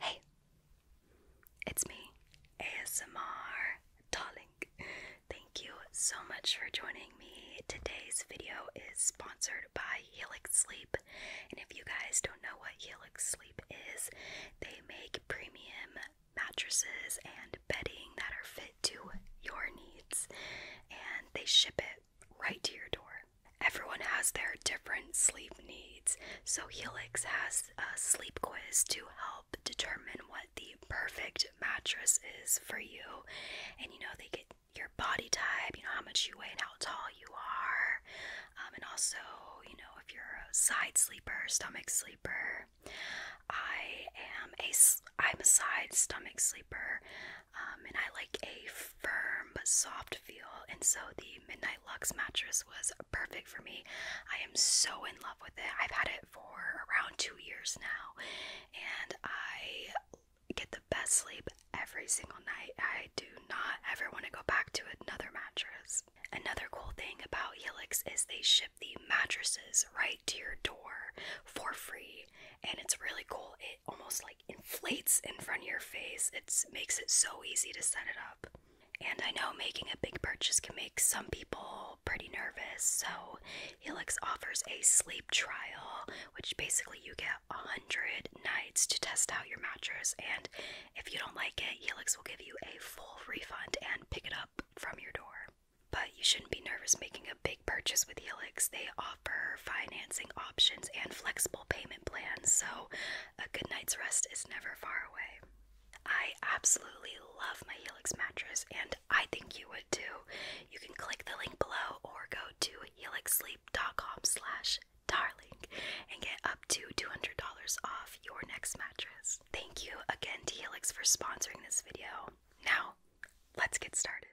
Hey, it's me, ASMR Darling. Thank you so much for joining me. Today's video is sponsored by Helix Sleep. And if you guys don't know what Helix Sleep is, they make premium mattresses and bedding that are fit to your needs. And they ship it right to your door. Everyone has their different sleep needs, so Helix has a sleep quiz to help determine what the perfect mattress is for you. And you know, they get your body type, you know, how much you weigh and how tall you are, um, and also, you know, if you're a side sleeper, stomach sleeper. I am a, I'm a side stomach sleeper, um, and I like a firm but soft feel, and so the Midnight Lux mattress was perfect for me. I am so in love with it. I've had it for around two years now, and I get the best sleep every single night. I do not ever want to go back to another mattress. Another cool thing about Helix is they ship the mattresses right to your door for free, and it's really cool almost like inflates in front of your face. It makes it so easy to set it up. And I know making a big purchase can make some people pretty nervous, so Helix offers a sleep trial, which basically you get 100 nights to test out your mattress. And if you don't like it, Helix will give you a full refund and pick it up from your door. But you shouldn't be nervous making a big purchase with Helix. They offer financing options and flexible payment plans, so a good night's rest is never far away. I absolutely love my Helix mattress, and I think you would too. You can click the link below or go to helixsleep.com/slash darling and get up to $200 off your next mattress. Thank you again to Helix for sponsoring this video. Now, let's get started.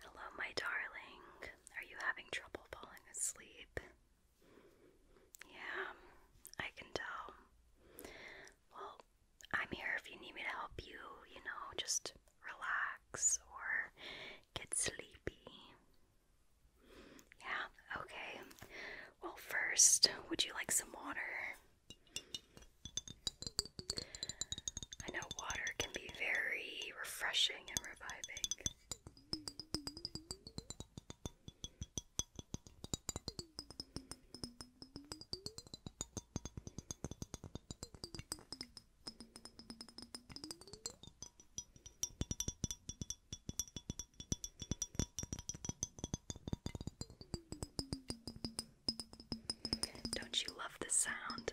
Hello, my darling. Are you having trouble falling asleep? Yeah, I can tell. Well, I'm here if you need me to help you, you know, just relax or get sleepy. Yeah, okay. Well, first, would you like some water? I know water can be very refreshing and reviving. Don't you love the sound?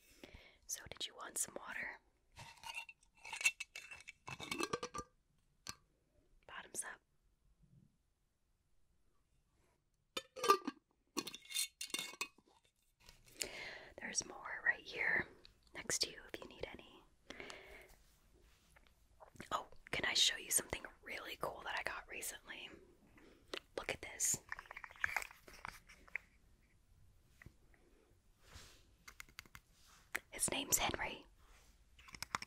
So, did you want some water? Bottoms up. There's more right here next to you if you need any. Oh, can I show you something really cool that I got recently? Look at this. His name's Henry.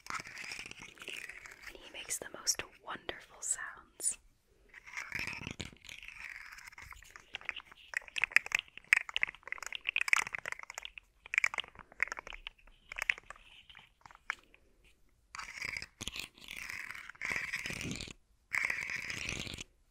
And he makes the most wonderful sounds.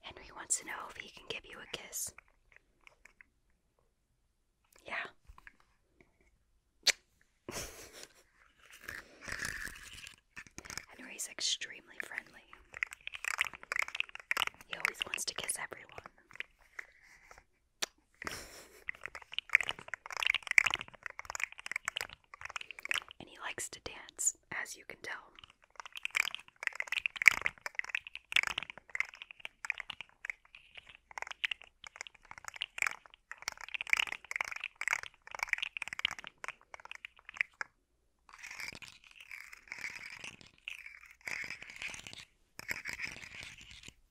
Henry wants to know if he can give you a kiss. Yeah. Henry's extremely friendly. He always wants to kiss everyone and he likes to dance, as you can tell.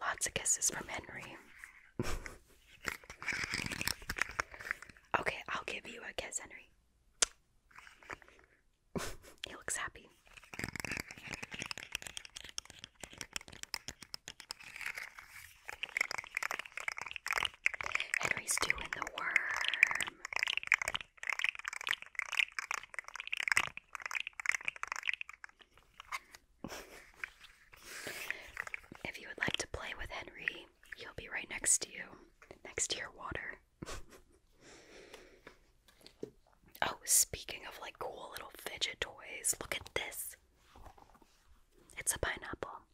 Lots of kisses from Henry. okay, I'll give you a kiss, Henry. he looks happy. Henry's doing the worm. if you would like to play with Henry, he'll be right next to you, next to your water. oh, speaking of like cool little fidget toys, look at this. It's a pineapple.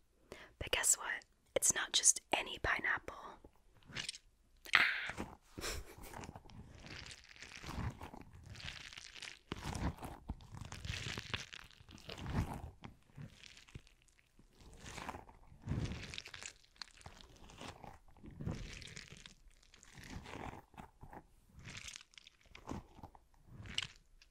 But guess what? It's not just any pineapple.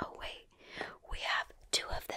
oh wait, we have two of them.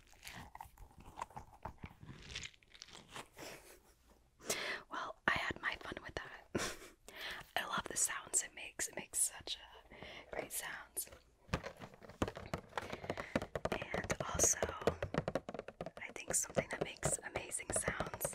Well, I had my fun with that. I love the sounds it makes. It makes such a great sounds. And also, I think something that makes amazing sounds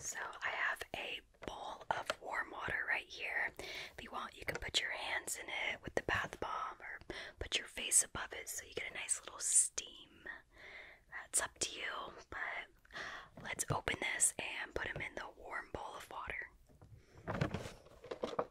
So I have a bowl of warm water right here. If you want, you can put your hands in it with the bath bomb or put your face above it so you get a nice little steam. That's up to you, but let's open this and put them in the warm bowl of water.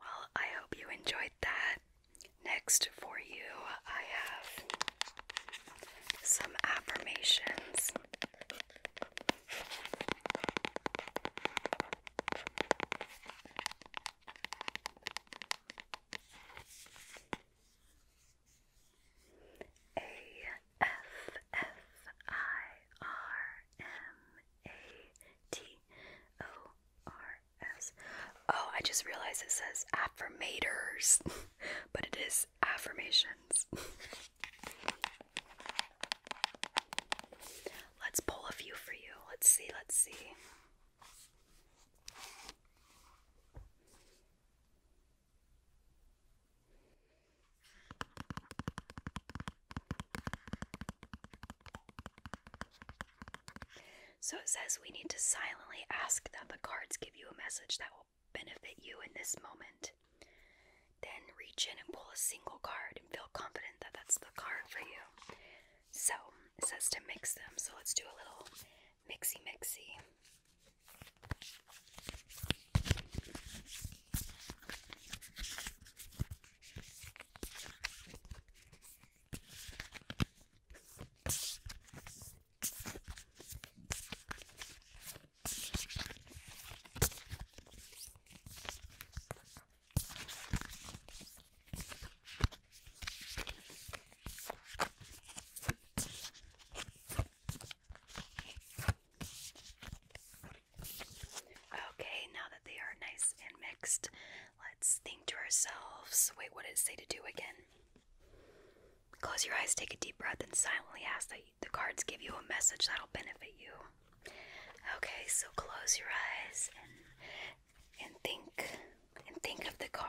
Well, I hope you enjoyed that. Next for you, I have some affirmations. A F F I R M A T O R S. Oh, I just realized it says affirmators, but it is affirmations. Let's pull a few for you. Let's see, let's see. So it says we need to silently ask that the cards give you a message that will benefit you in this moment. Then reach in and pull a single card and feel confident that that's the card for you. So it says to mix them. So let's do a little Mixy Mixy. Okay, now that they are nice and mixed, let's think to ourselves. Wait, what did it say to do again? Close your eyes, take a deep breath, and silently ask that the cards give you a message that'll benefit you. Okay, so close your eyes and and think and think of the card.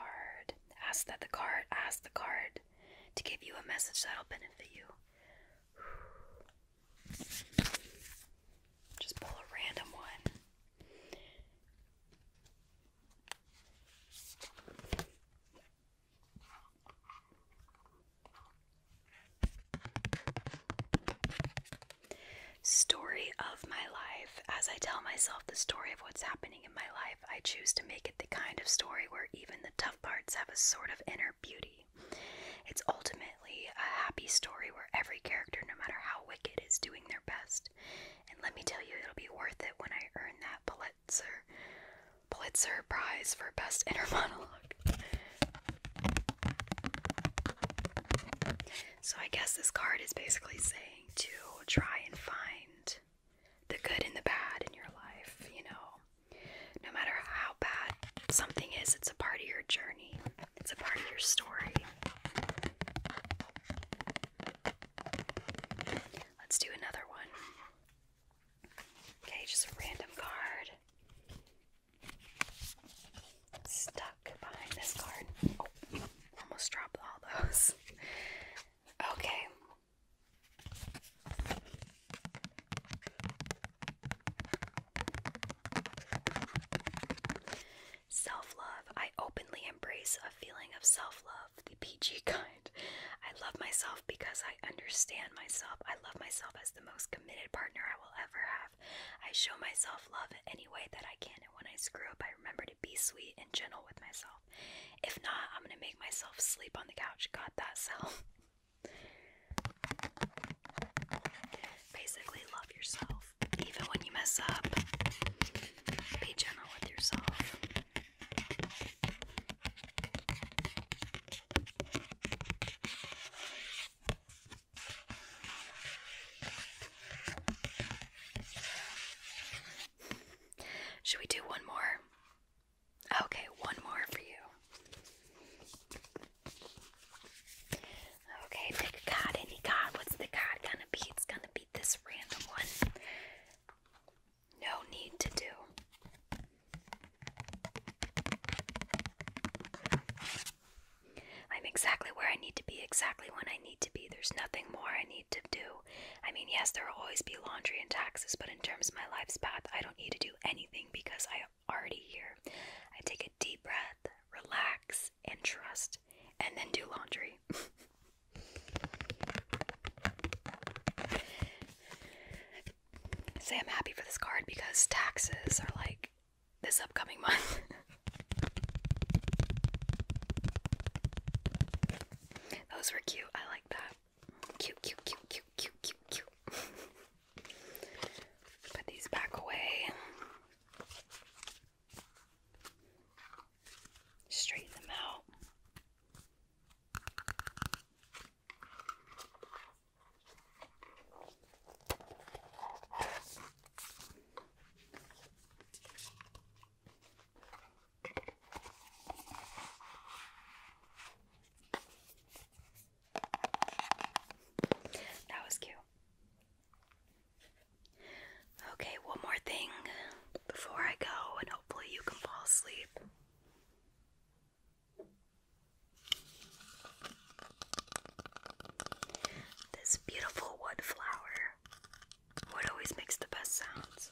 Ask that the card, ask the card to give you a message that'll benefit you. Just pull a random one story of my life. As I tell myself the story of what's happening in my life, I choose to make it the kind of story where even the tough parts have a sort of inner beauty. It's ultimately a happy story where every character, no matter how wicked, is doing their best. And let me tell you, it'll be worth it when I earn that Pulitzer Pulitzer Prize for Best Inner Monologue. So I guess this card is basically saying to try and find the good and the bad in your life, you know. No matter how bad something is, it's a part of your journey, it's a part of your story. Let's do another one. Okay, just a random card. Stop stuck behind this card. Oh, almost dropped all those. Okay. Self love. I openly embrace a feeling of self love, the PG kind. I love myself because I understand myself. I love myself as the most committed partner I will ever have. I show myself love in any way that I can, and when I screw up, I remember be sweet and gentle with myself. If not, I'm going to make myself sleep on the couch. Got that self. Basically, love yourself. Even when you mess up, be gentle with yourself. Should we do one more? Okay, one more for you. Okay, pick a card, any card. What's the card gonna be? It's gonna be this random one. No need to do. I'm exactly where I need to be, exactly when I need to be. There's nothing more I need to do. I mean, yes, there will always be laundry and taxes, but in terms of my life's path, I don't need to do anything because I am already here. I take a deep breath, relax, and trust, and then do laundry. Say I'm happy for this card because taxes are like this upcoming month. Those were cute. I like that. Cute, cute, cute, cute, cute, cute, cute. Put these back away. Straighten them out. That was cute. Okay, one more thing before I go, and hopefully you can fall asleep. This beautiful wood flower. Wood always makes the best sounds.